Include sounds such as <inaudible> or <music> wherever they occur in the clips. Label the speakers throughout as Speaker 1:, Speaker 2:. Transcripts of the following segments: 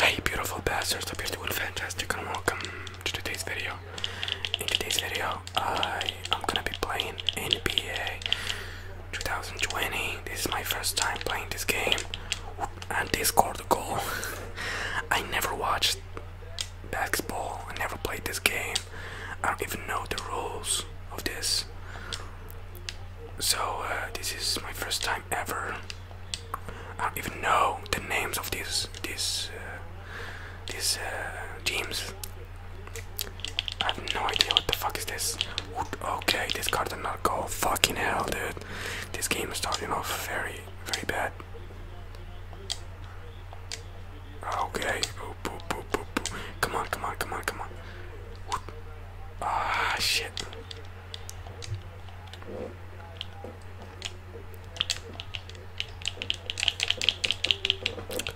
Speaker 1: Hey beautiful bastards, hope you're doing fantastic and welcome to today's video. In today's video, I am gonna be playing NBA 2020. This is my first time playing this game and they scored the goal. <laughs> I never watched basketball, I never played this game. I don't even know the rules of this. So uh, this is my first time ever. I don't even know the names of these these uh, these uh, teams. I have no idea what the fuck is this. Okay, this card did not go. Fucking hell, dude! This game is starting off very very bad. Okay, come on, come on, come on, come on. Ah, shit.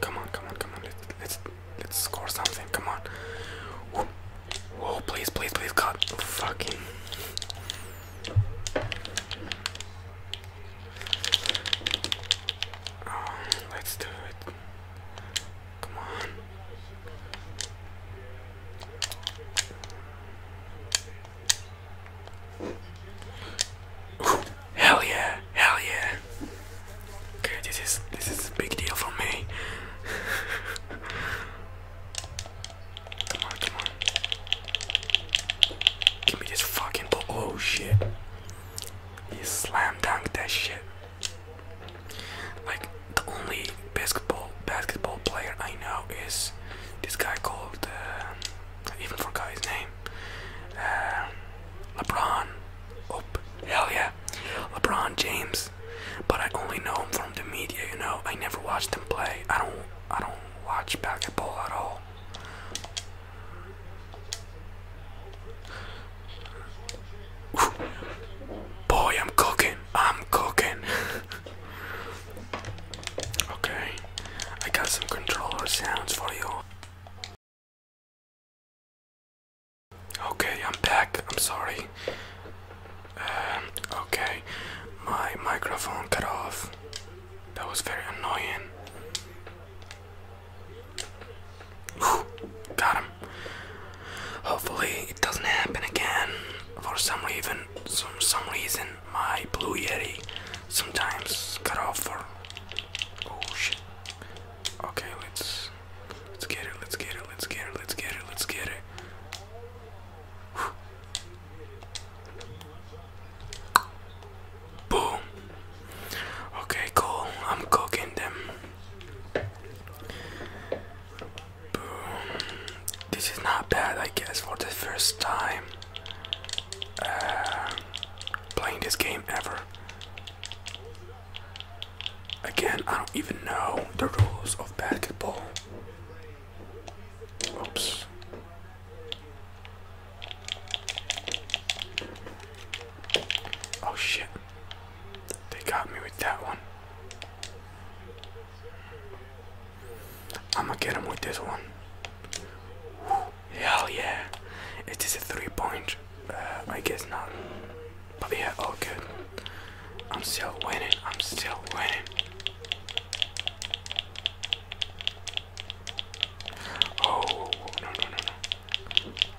Speaker 1: Come on, come on, come on. Let's let's let's score something. Come on. Whoa, please, please, please, God, fucking. Um, let's do it. Come on. hell yeah, hell yeah. Okay, this is this is a big deal for me. <laughs> come on, come on. Give me this fucking ball. Oh shit. You slam dunked that shit. Like the only basketball basketball player I know is this guy called uh, even forgot his name. Uh, LeBron. Oh hell yeah, LeBron James. But I only know him from the media. You know, I never watched him play. I don't. I don't watch basketball at all. Boy, I'm cooking. I'm cooking. okay, I got some controller sounds for you. Okay, I'm back. I'm sorry. Um, okay, my microphone cut off. That was very annoying. Whew. God, Hopefully it doesn't happen again. For some reason, some some reason, my blue yeti sometimes cut off for. Oh shit! Okay, let's let's get it. Let's get it. Let's get it. Let's get it. Let's get it. Boom. Okay, cool. I'm cooking them. Boom. This is not bad, I guess, for the first time uh, playing this game ever. Again, I don't even know the rules of basketball. Oops. Oh shit. They got me with that one. I'm gonna get him with this one. hell yeah. It is a three point. Uh, I guess not. But yeah, all good. I'm still winning. I'm still winning. Oh, no, no, no, no.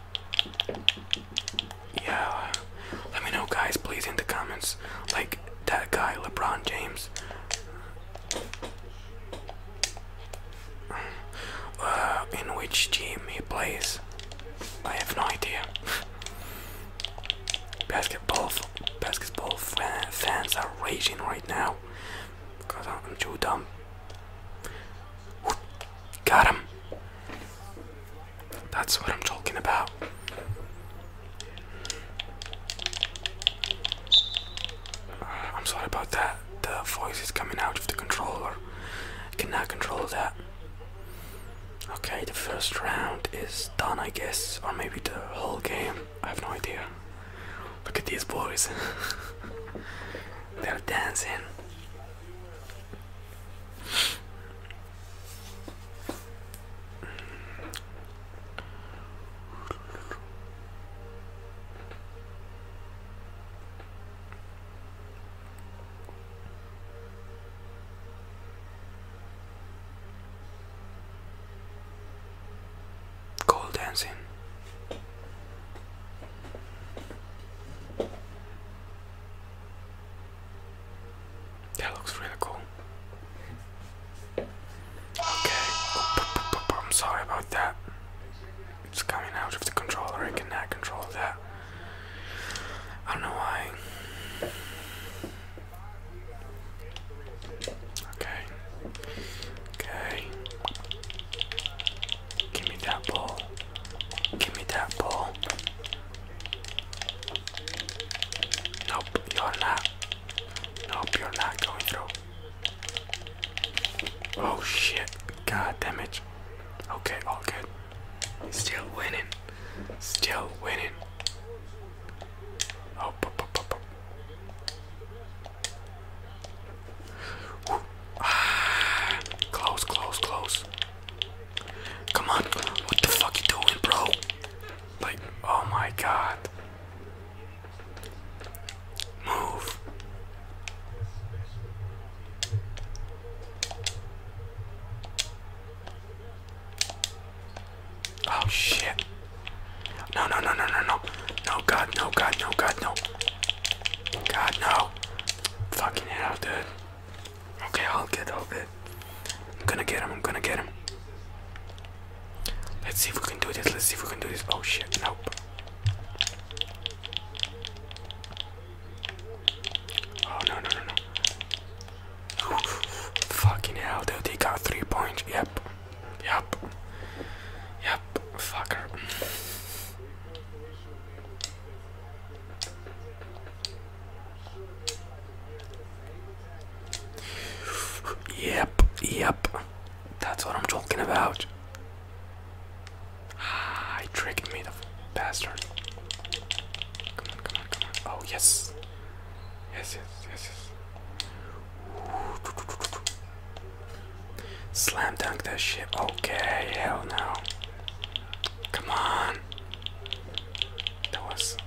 Speaker 1: Yeah, let me know, guys, please, in the comments. Like that guy, LeBron James. Uh, in which team he plays, I have no idea. basketball, basketball fans are raging right now because I'm too dumb. Got him. That's what I'm talking about. Uh, I'm sorry about that. The voice is coming out of the controller. I cannot control that. Okay, the first round is done, I guess, or maybe the whole game. I have no idea. Look at these boys. <laughs> They're dancing. Call dancing. That looks really cool. Okay, I'm sorry about that. It's coming out of the controller, I cannot control that. I don't know why. Okay. Okay. Give me that ball. Give me that ball. Nope, you're not. Nope, you're not going through. Oh shit. God damn it. Okay, all good. Still winning. Still winning. Oh, ah. close, close, close. Come on, what the fuck you doing, bro? Like, oh my god. Move. Oh shit. No, no, no, no, no, no. No, God, no, God, no, God, no. God, no. Fucking hell, dude. Okay, I'll get all of it. I'm gonna get him, I'm gonna get him. Let's see if we can do this, let's see if we can do this. Oh shit, nope. Oh no, no, no, no. Oof, fucking hell, dude, he got three points. Yep, yep, yep, fucker. Yep, yep. That's what I'm talking about. Ah, he tricked me, the bastard. Come on, come on, come on. Oh, yes. Yes, yes, yes, yes. Slam dunk that shit. Okay, hell no. Come on. That was.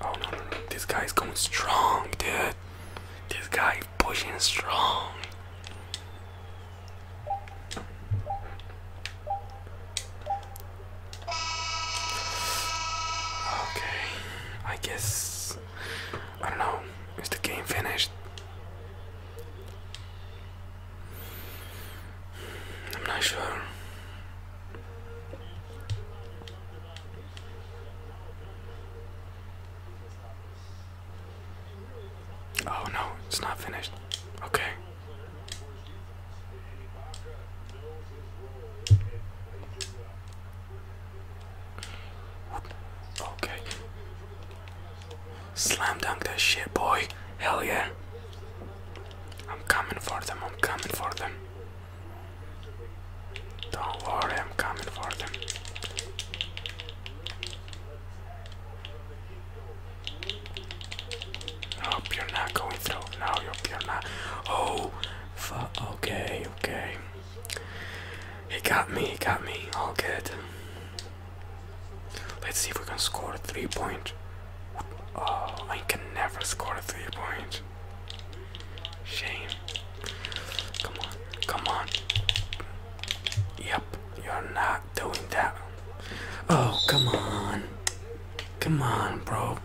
Speaker 1: Oh no, no, no. This guy's going strong, dude. This guy pushing strong. Okay, I guess I don't know. Is the game finished? I'm not sure. Oh no, it's not finished. Okay. Okay. Slam dunk that shit, boy. Hell yeah. I'm coming for them, I'm coming for them. Don't worry, I'm coming for them. Nope, you're not going through. No, you're not. Oh, fuck. Okay, okay. He got me, he got me. All good. Let's see if we can score a three point. Oh, I can never score a three point. Shame. Come on, come on. Yep, you're not doing that. Oh, come on. Come on, bro.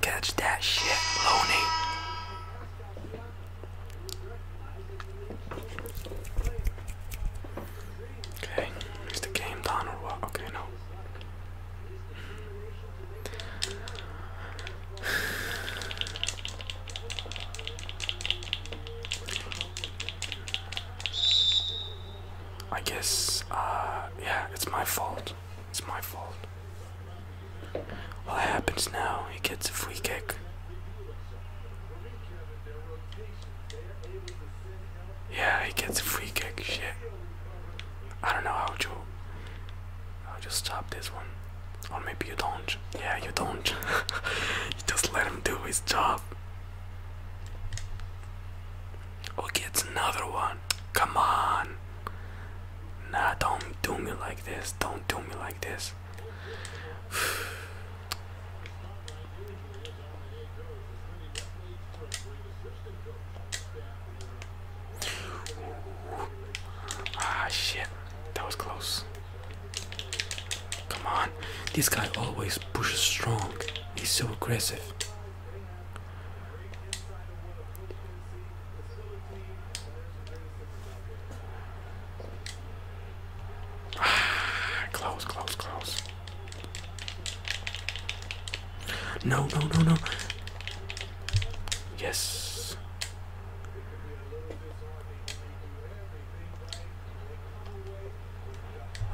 Speaker 1: Catch that shit, Loney. Okay, is the game done or what? Okay, no. I guess, uh, yeah, it's my fault. It's my fault. What happens now? He gets a free kick. Yeah, he gets a free kick. Shit. I don't know how to. I'll just stop this one. Or maybe you don't. Yeah, you don't. <laughs> you just let him do his job. Okay, it's another one. Come on. Nah, don't do me like this. Don't do me like this. <sighs> ah, shit. That was close. Come on. This guy always pushes strong. He's so aggressive. <sighs> close, close, close. No, no, no, no. Yes.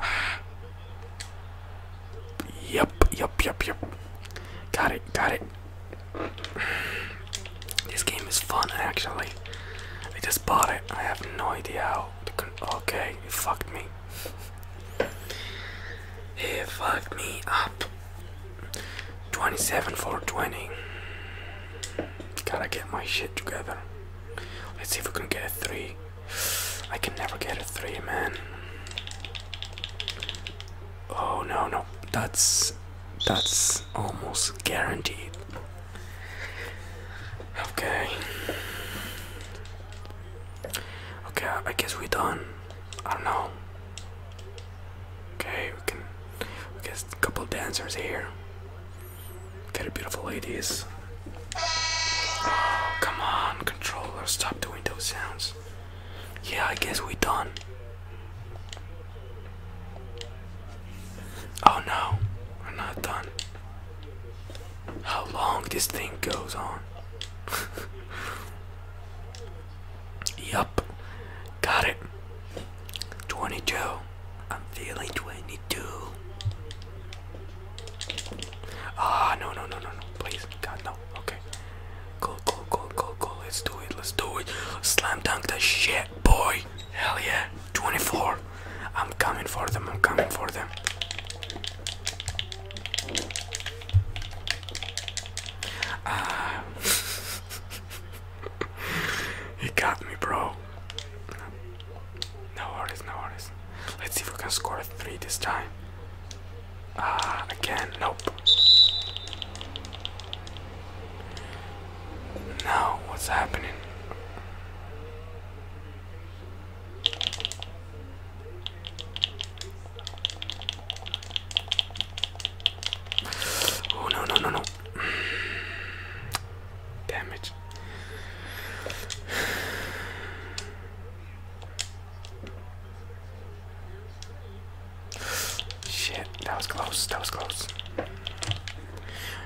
Speaker 1: <sighs> Yep, yep, yep, yep. Got it, got it. <sighs> This game is fun, actually. I, just bought it. I have no idea how. okay, it fucked me. It fucked me up. 27 for 20. Gotta get my shit together. Let's see if we can get a 3. I can never get a 3, man. Oh no, no. That's. That's almost guaranteed. Okay. Okay, I guess we're done. I don't know. Okay, we can. We get a couple of dancers here. Get a beautiful ladies. Oh, come on, controller, stop doing those sounds. Yeah, I guess we're done. Oh no, we're not done. How long this thing goes on. <laughs> yup, got it. 22. I'm feeling 22. Ah, oh, no, no, no, no, no. Please, God, no. Okay. go go go go go! Let's do it. Let's do it. Slam dunk the shit, boy. Hell yeah, 24. I'm coming for them, I'm coming for them. Ah. he <laughs> got me, bro. No worries, no worries. Let's see if we can score 3 this time. Ah, again, nope. Now, what's happening? Oh no, no, no, no. <sighs> Damage. <sighs> Shit, that was close, that was close.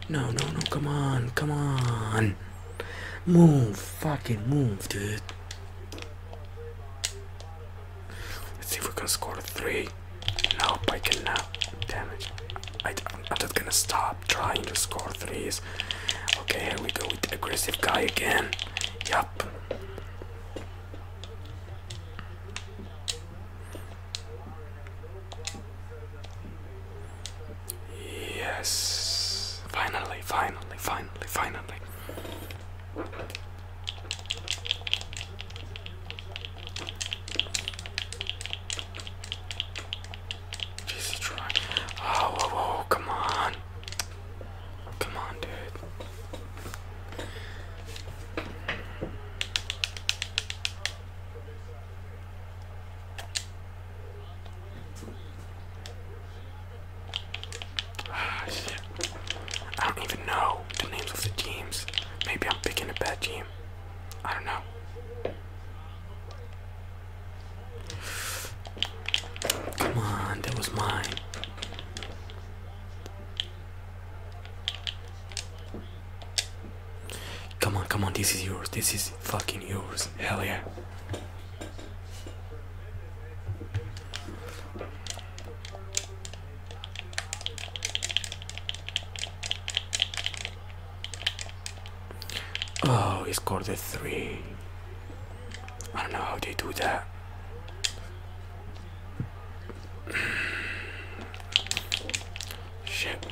Speaker 1: No, no, no, come on, come on. Move, fucking move, dude. Let's see if we can score three. Nope, I cannot. Damn it. I, am just gonna stop trying to score threes. Okay, here we go with the aggressive guy again. Yup. Yes. Finally, finally, finally, finally. Jesus try. Oh, come on. Come on, dude. Ah, I don't even know the names of the teams. Maybe I'm picking a bad team. I don't know. Come on, that was mine. Come on, come on, this is yours. This is fucking yours. Hell yeah. Oh, he scored the three. I don't know how they do that. Shit.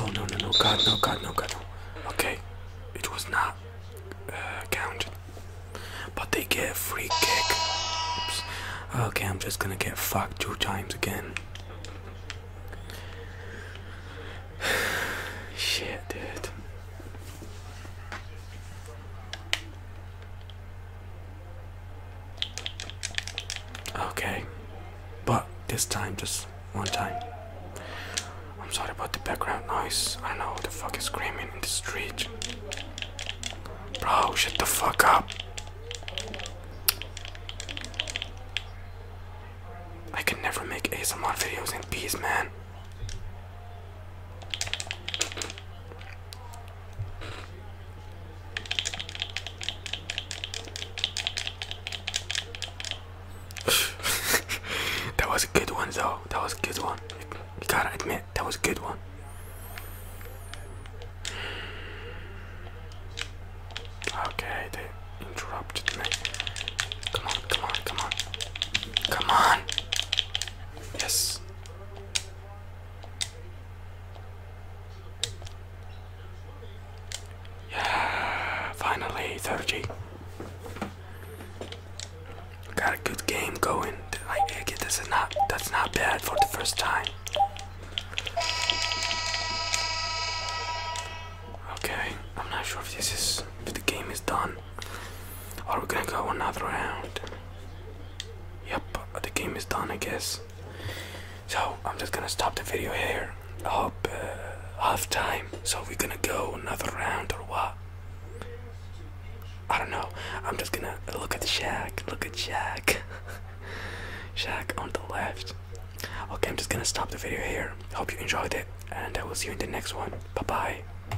Speaker 1: Oh no no no god no god no god no. Okay, it was not uh, counted. But they get free kick. Okay, I'm just gonna get fucked two times again. <sighs> Shit, dude. Okay, but this time, just one time. I'm sorry about the background noise. I know who the fuck is screaming in the street. Bro, shut the fuck up. I can never make A's ASMR videos in peace, man. <laughs> that was a good one though. That was a good one. You gotta admit, that was a good one. Okay, they interrupted me. Come on, come on, come on. Come on! Yes, yeah, finally 30. Got a good game going. I, get this is not that's not bad for the first time. Okay, I'm not sure if this is if the game is done. Are we gonna go another round? Yep, the game is done, I guess. So I'm just gonna stop the video here. I hope uh, half time. So we're gonna go another round or what? I don't know. I'm just gonna look at Jack. Look at Shaq. <laughs> Shaq on the left. Okay, I'm just gonna stop the video here. Hope you enjoyed it, and I will see you in the next one. Bye bye.